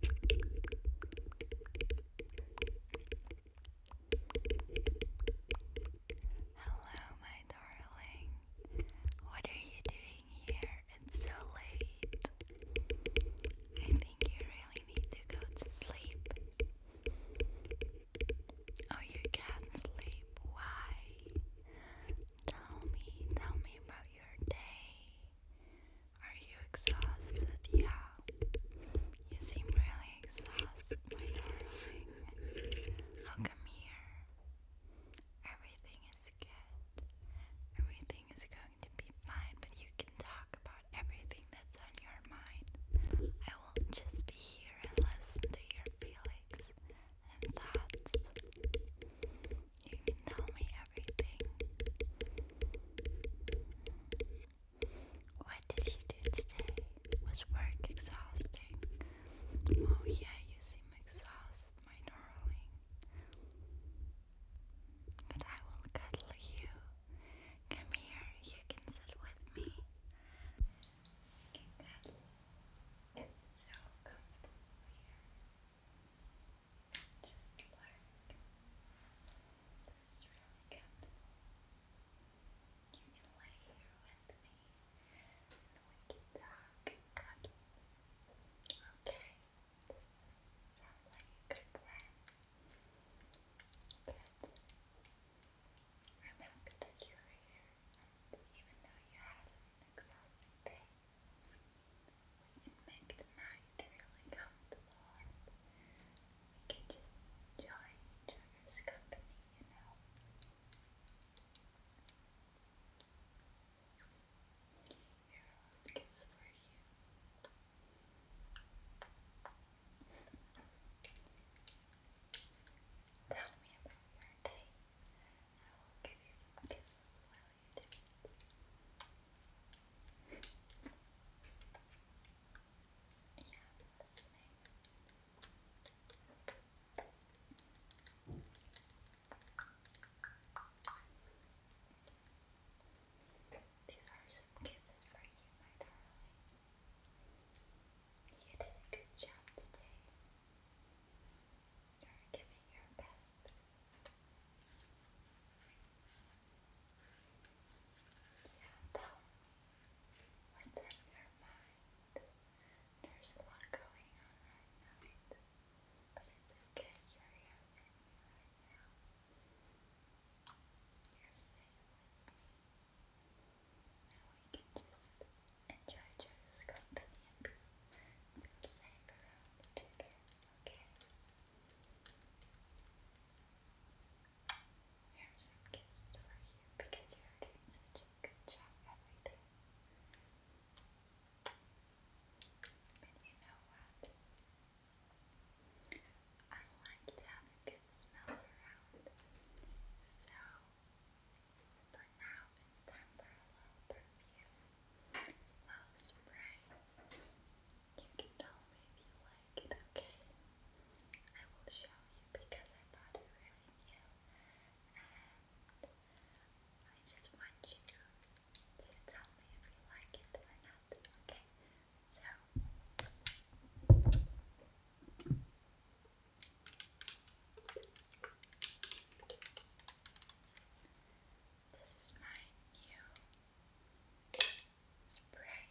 Hello, my darling. What are you doing here? It's so late. I think you really need to go to sleep. Oh, you can't sleep. Why? Tell me, tell me about your day. Are you exhausted? Yeah. You seem really exhausted, come here. Everything is good. Everything is going to be fine, but you can talk about everything that's on your mind. I will just be here and listen to your feelings and thoughts. You can tell me everything. What did you do today? Was work exhausting? Oh, yeah, you seem exhausted, my darling. But I will cuddle you. Come here, you can sit with me. It's so comfortable here just learn. This really good. You can lay here with me and we can talk Okay, this sounds like a good plan. But remember that you're here, even though you had an exhausting day, and make the night really comfortable we can just enjoy each other's company, you know. Your love kiss for you. Tell me about your day. I will give you some kisses these are some kisses for you, my darling. You did a good job today. You're giving your best. Though, what's in her mind? There's a lot going on right now, but it's okay, you're here with me right now. You're safe with me. Now we can just enjoy each other's company and be feel safe around each other. Okay. Here are some kisses for you because you're doing such a good job every day. And you know what? I like to have a good smell around. So for now it's time for a little perfume i spray. You can tell me if you like it, okay? I will show you because I bought it really new and I just want you to tell me if you like it or not, okay? So. This is my new spray.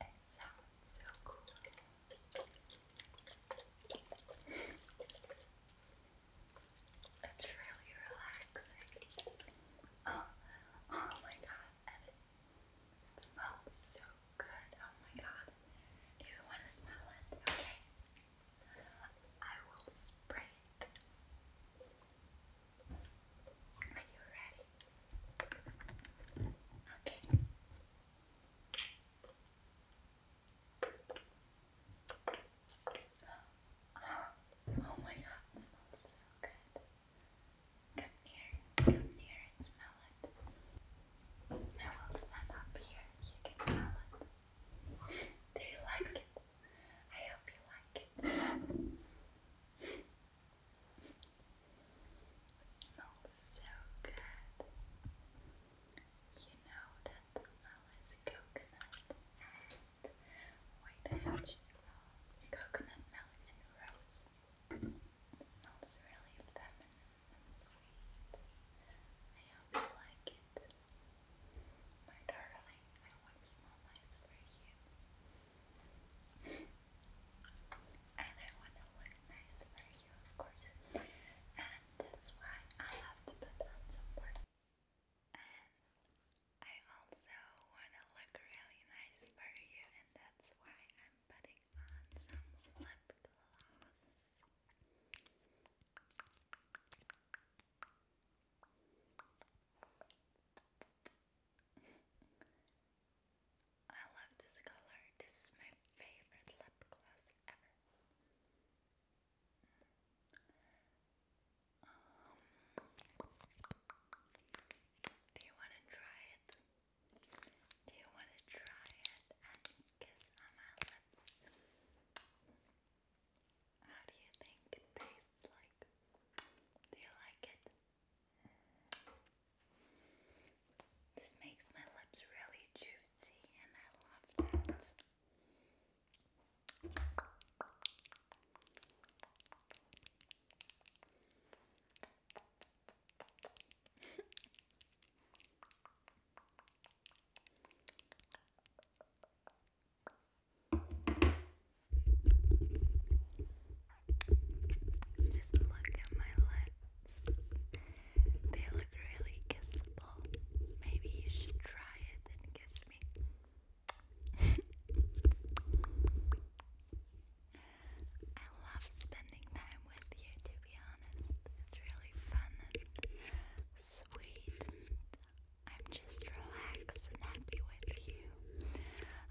It sounds so cool. it's really relaxing. Oh, oh my god, and it, smells so good. Oh my god. Do you want to smell it? Okay. I will spray it. Are you ready? Okay. Oh, my god, it smells so good. Come near, come near and smell it. I will stand up here, you can smell it. Do you like it? I hope you like it. It smells so good. You know that the smell is coconut and white hedgehog, coconut melon and rose. It smells really feminine and sweet. I hope you like it. My darling, I wax my eyes for you. and I want to look nice for you, of course. And that's why I have to put on some product. And I also want to look really nice for you, and that's why I'm am putting on some lip gloss. I love this color. This is my favorite lip gloss ever. Um, do you want to try it? Do you want to try it and kiss on my lips? How do you think it tastes like? Do you like it? This makes my lips really juicy and I love that. Just look at my lips. They look really kissable. Maybe you should try it and kiss me. I love spending time with you to be honest. It's really fun and sweet I'm just relaxed and happy with you.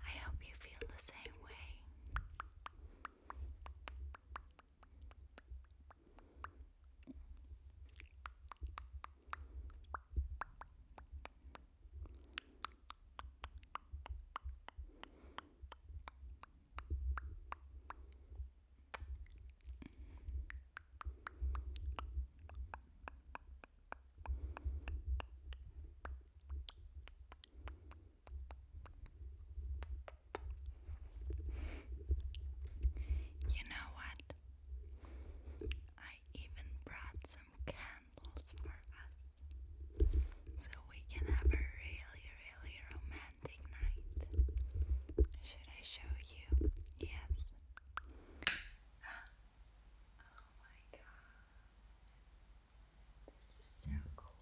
I hope you feel the same way. You know what? I even brought some candles for us so we can have a really, really romantic night. Should I show you? Yes. Oh my god. This is so cool.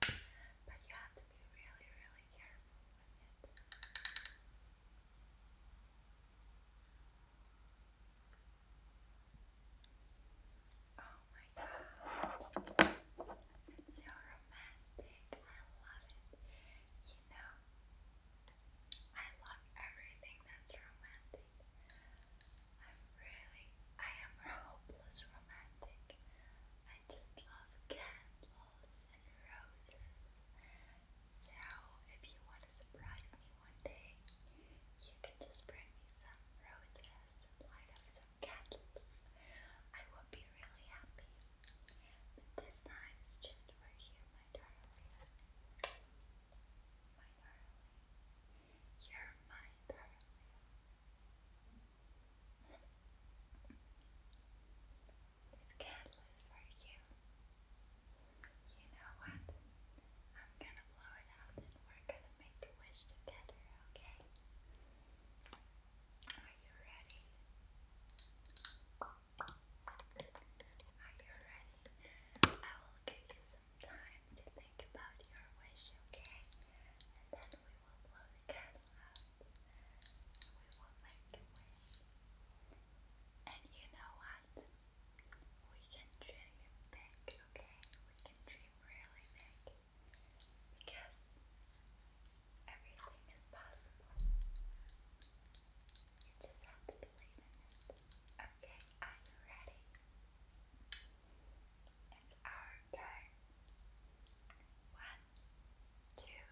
But you have to be really, really careful with it. Oh my god, it's so romantic. I love it. You know, I love everything that's romantic. I'm really, I am a hopeless romantic. I just love candles and roses. So, if you want to surprise me one day, you can just bring me some roses light up some candles. I would be really happy. But this time it's just for you, my darling. My darling. You're darling. This candle is for you. You know what? I'm gonna blow it out and we're gonna make a wish together, okay? Are you ready? Are you ready? I will give you some time to think about your wish, okay? And then we will blow the We will make a wish. And you know what? We can dream it okay? We can dream i really mad because everything is possible. You just have to believe in it. Okay, I'm ready. It's our turn. One, two,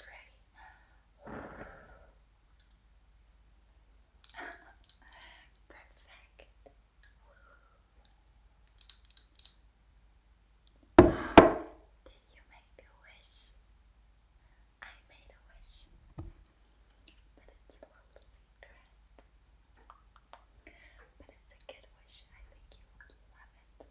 three. Perfect. Did you make a wish? I made a wish, but it's a little secret. But it's a good wish. I think you would love it.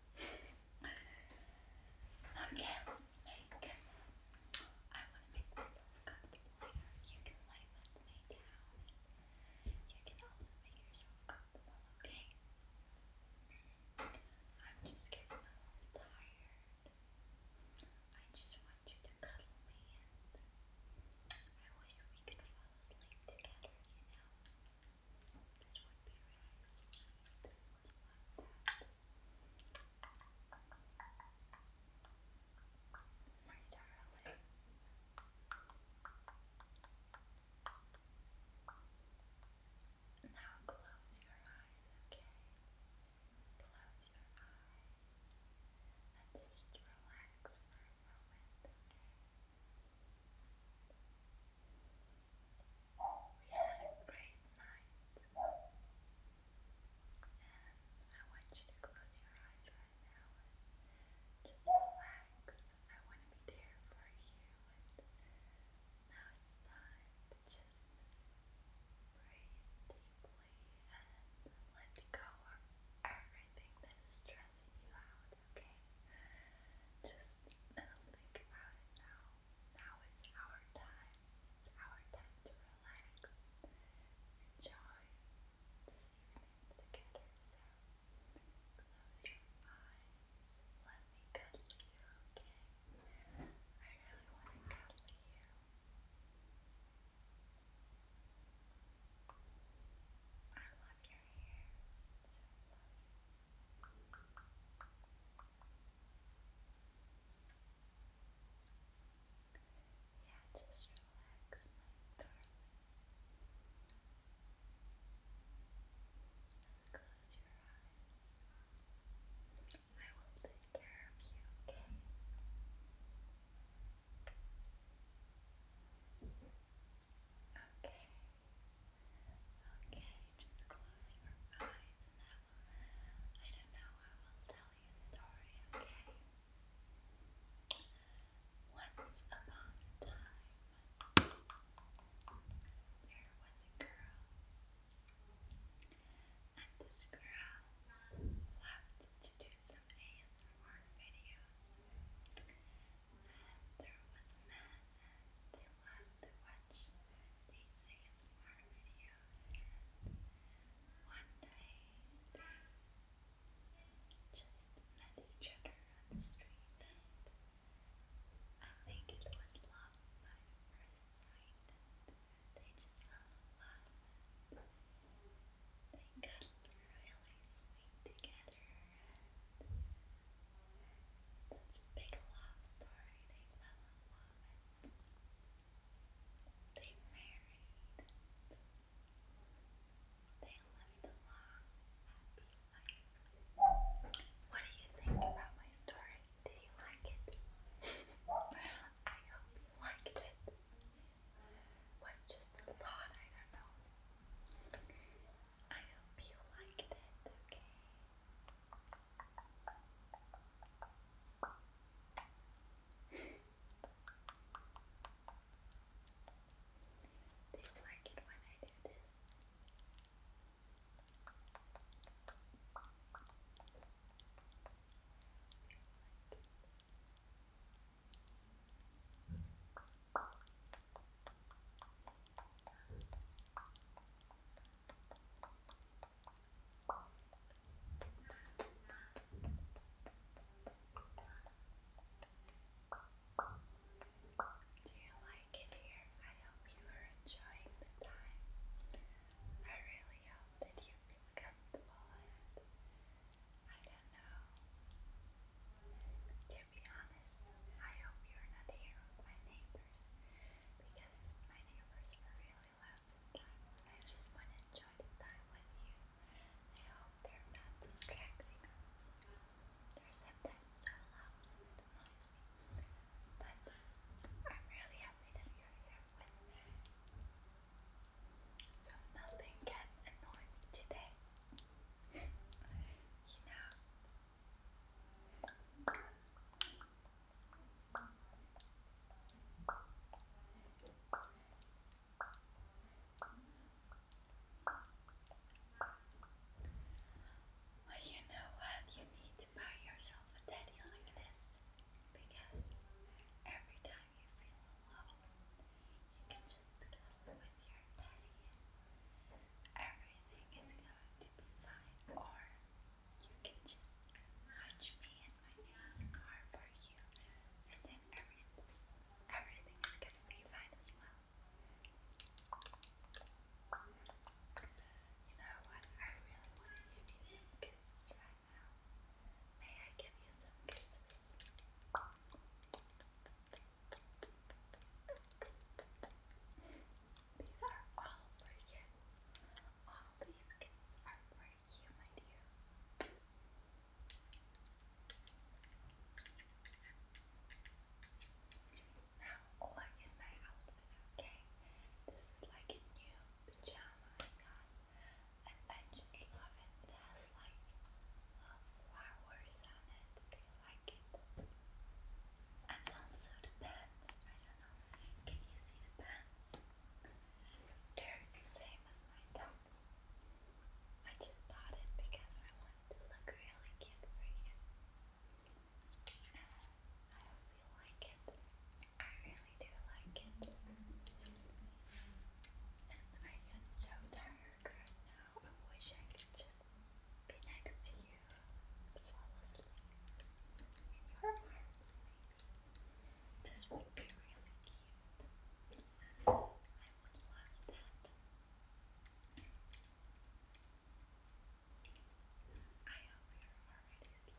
okay, let's make. I want to make come you can lay with me down. You can also make yourself comfortable, okay? I'm just getting a little tired. I just want you to cuddle me and I wish we could fall asleep together, you know? This would be really sweet. I would love that my darling. Now close your eyes, okay? Close your eyes and just relax for a moment, We had a great night. I want you to close your eyes right now and just relax. I want to be there for you. And now it's time just breathe deeply and let go of everything that is stressing you out, okay? Just don't think about it now. Now it's our time. It's our time to relax. Enjoy this evening together, so close your eyes. Let me cuddle you, okay? I really want to cuddle you. I love your hair. so lovely. Yeah, just relax, my darling. close your eyes. I will take care of you, okay? Okay. Okay, just close your eyes and I will I don't know, I will tell you a story, okay? Once upon a time, there was a girl, and this girl loved to do some ASMR videos. And there was a man, and they loved to watch these ASMR videos one night, just met each other on the street, I think it was love by first sight, they just fell in love, they got really sweet together, that's big love story, they fell in love. They married. They lived a long, What do you think about my story? Did you like it? I hope you liked it. was just a thought, I don't know. I hope you liked it, okay? Do you like it when I do this? Do you like it here? I hope you are enjoying the time. I really hope that you feel comfortable I don't know. To be honest, I hope you're not here with my neighbors because my neighbors are really out sometimes, and I just want to enjoy the time with you. I hope they're not distracting us. They're sometimes so loud and it annoys me. But I'm really happy that you're here with me. So nothing can annoy me today. you know. Well, you know what? You need to buy yourself a teddy like this because every time you feel alone, you can just cuddle with your teddy and everything is going to be fine you can just watch me and my nails are for you, and then everything everything is gonna be fine as well. You know what? I really want to give you some kisses right now. May I give you some kisses? These are all for you. All these kisses are for are you, my my outfit, okay? This is like a new pajama and I just love it. It has like flowers on it. I like it. And also the pants. I don't know. Can you see the pants? they the same as my top. I just bought it because I wanted to look really cute for you. And I hope you like it. I really do like it. And I get so tired now. I wish I could just be next to you, fall asleep in your arms, maybe. This would be really cute. I would love that. I hope you're already sleeping and I'm just here watching you.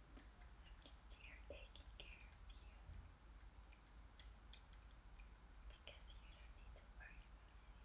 I'm just here taking care of you. Because you don't need to worry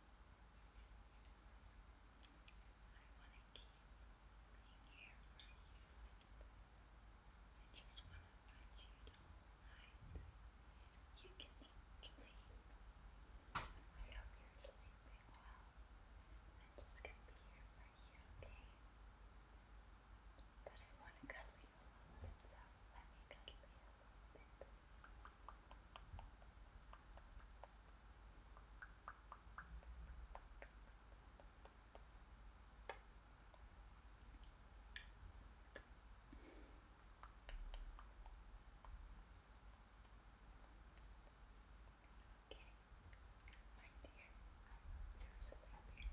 I want to keep being here you. I just want to watch you the You can just sleep. I hope you're sleeping well. I'm just going to be here for you, okay? But I want to cuddle you so let me cuddle you my dear, there um, was a baby really, really low. I'm gonna say goodbye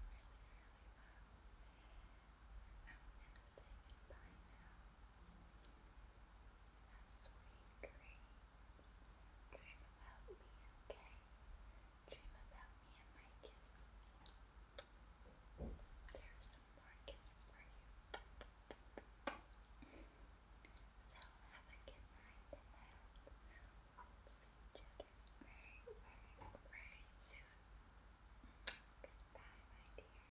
now sweet dreams. Dream about me, okay? Dream about me and my kisses. There are some more kisses for you. So have a good night and I hope we'll see each other very, very, very soon. Goodbye, my dear.